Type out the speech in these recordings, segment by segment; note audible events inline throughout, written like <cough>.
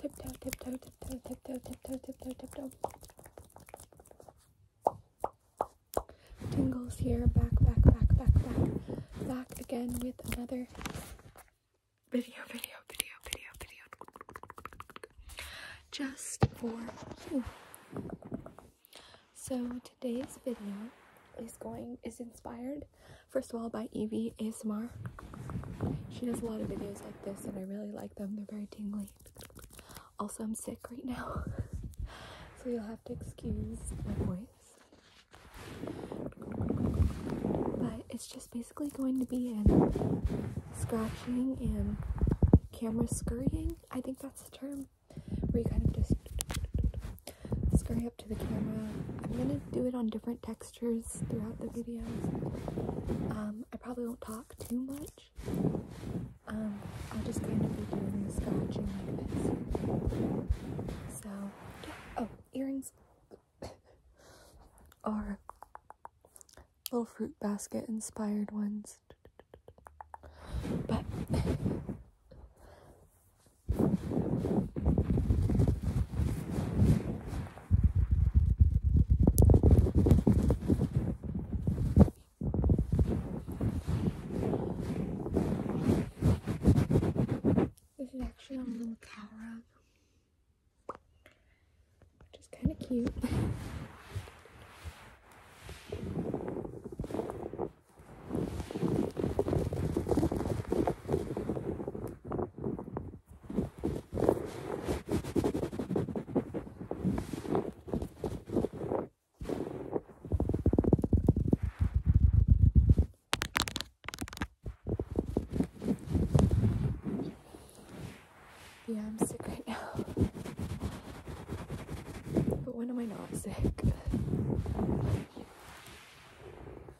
Tiptoe, tiptoe, tiptoe, tiptoe, tiptoe, tiptoe, tiptoe. Tingles here, back, back, back, back, back, back again with another video, video, video, video, video. Just for you. So today's video is going is inspired First of all, by Evie Asmar. She does a lot of videos like this, and I really like them. They're very tingly. Also, I'm sick right now, <laughs> so you'll have to excuse my voice. But it's just basically going to be in scratching and camera scurrying. I think that's the term where you kind of just scurry up to the camera. I'm gonna do it on different textures throughout the video. Um, I probably won't talk too much. Um, I'll just kind of be doing the scratching like this. So, oh, earrings <coughs> are little fruit basket inspired ones. But this is actually on a little cow rug, which is kind of cute. Yeah, I'm sick right now. But when am I not sick?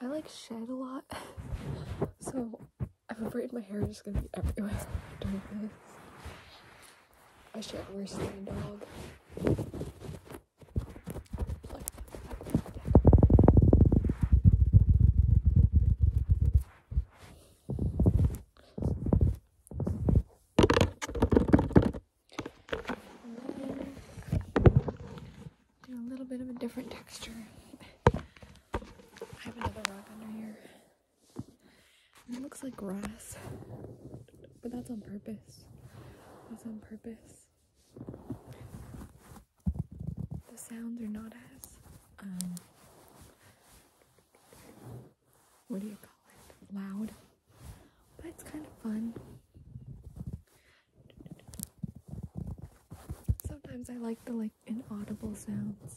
I like shed a lot, <laughs> so I'm afraid my hair is just gonna be everywhere <laughs> during this. I shed worse than a dog a little bit of a different texture. I have another rock under here. it looks like grass, but that's on purpose this was on purpose. The sounds are not as um, what do you call it? Loud. But it's kind of fun. Sometimes I like the like inaudible sounds.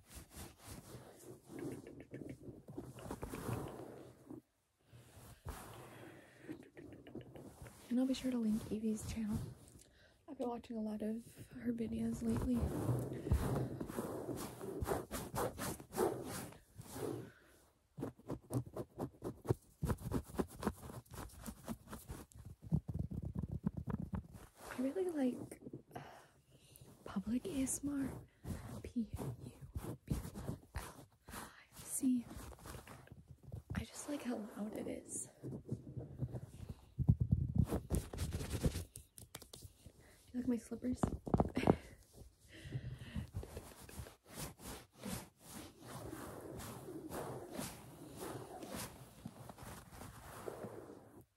And I'll be sure to link Evie's channel. I've been watching a lot of her videos lately. I really like uh, Public ASMR. P U B L I C. I just like how loud it is. Do you like my slippers?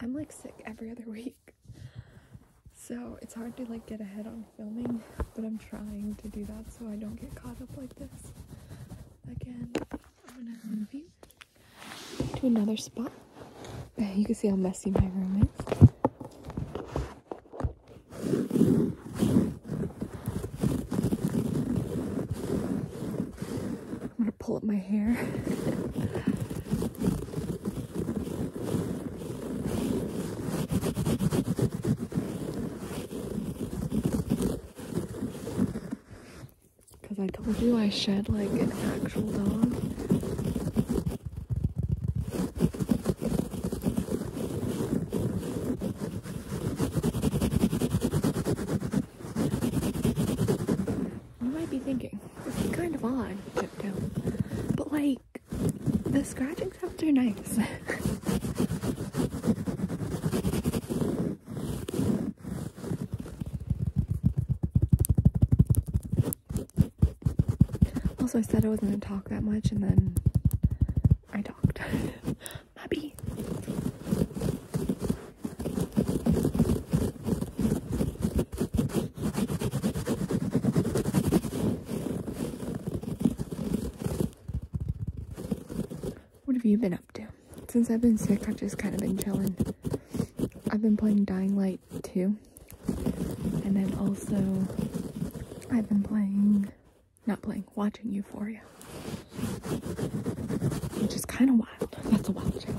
I'm like sick every other <laughs> week. So it's hard to like get ahead on filming, but I'm trying to do that so I don't get caught up like this. Again, I'm gonna move to another spot. You can see how messy my room is. I'm gonna pull up my hair. Because I told you I shed like an actual dog. You might be thinking, this kind of odd, Tiptoe. But like, the scratching sounds are nice. also, I said I wasn't gonna talk that much, and then I talked. <laughs> Mabby. What have you been up to? Since I've been sick, I've just kind of been chilling. I've been playing Dying Light too, And then also, I've been playing not playing, watching Euphoria. Which is kind of wild. That's a wild show.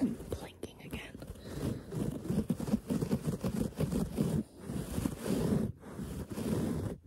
I'm blinking again.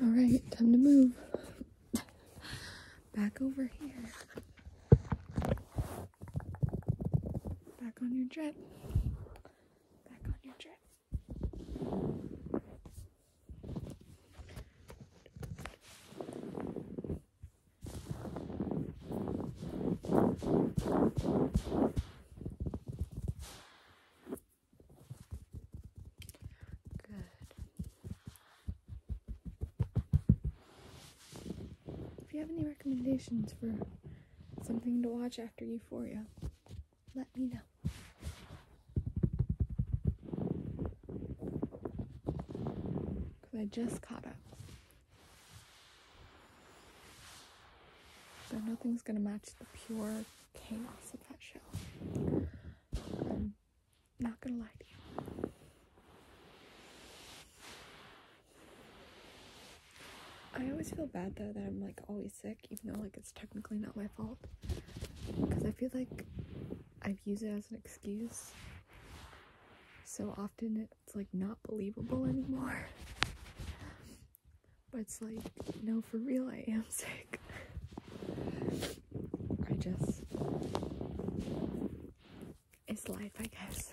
All right, time to move. Back over here. Back on your jet. Back on your jet. If you have any recommendations for something to watch after Euphoria, let me know. Because I just caught up. So nothing's gonna match the pure chaos of that show. I'm not gonna lie to you. I always feel bad though that I'm like always sick, even though like it's technically not my fault. Because I feel like I've used it as an excuse so often it's like not believable anymore. But it's like, no, for real, I am <laughs> sick. I just. It's life, I guess.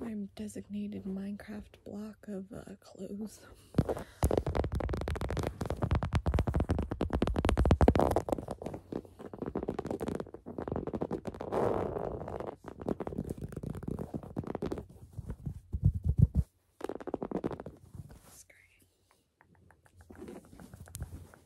my designated Minecraft block of uh, clothes.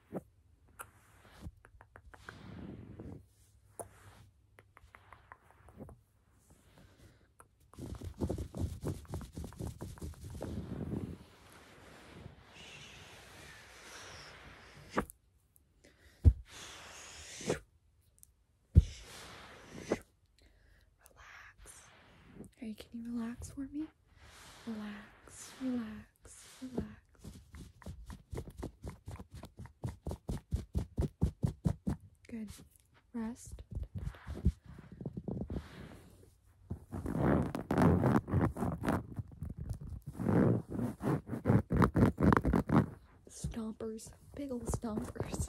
Relax. Hey, can you relax for me? Relax, relax, relax. Good. Rest. Stompers. Big old stompers.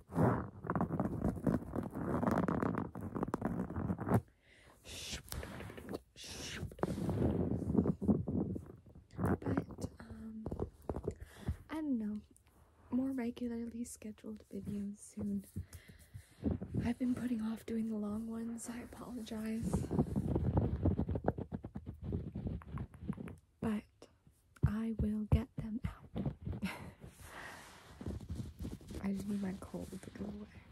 But, um, I don't know. More regularly scheduled videos soon. I've been putting off doing the long ones. I apologize. But I will get <laughs> I just need my cold to go away.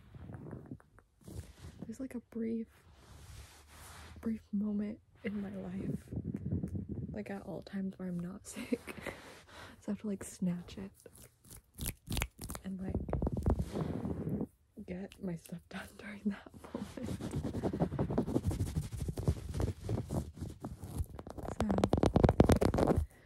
There's like a brief, brief moment in my life, like at all times where I'm not sick. <laughs> so I have to like snatch it and like get my stuff done during that <laughs> moment. So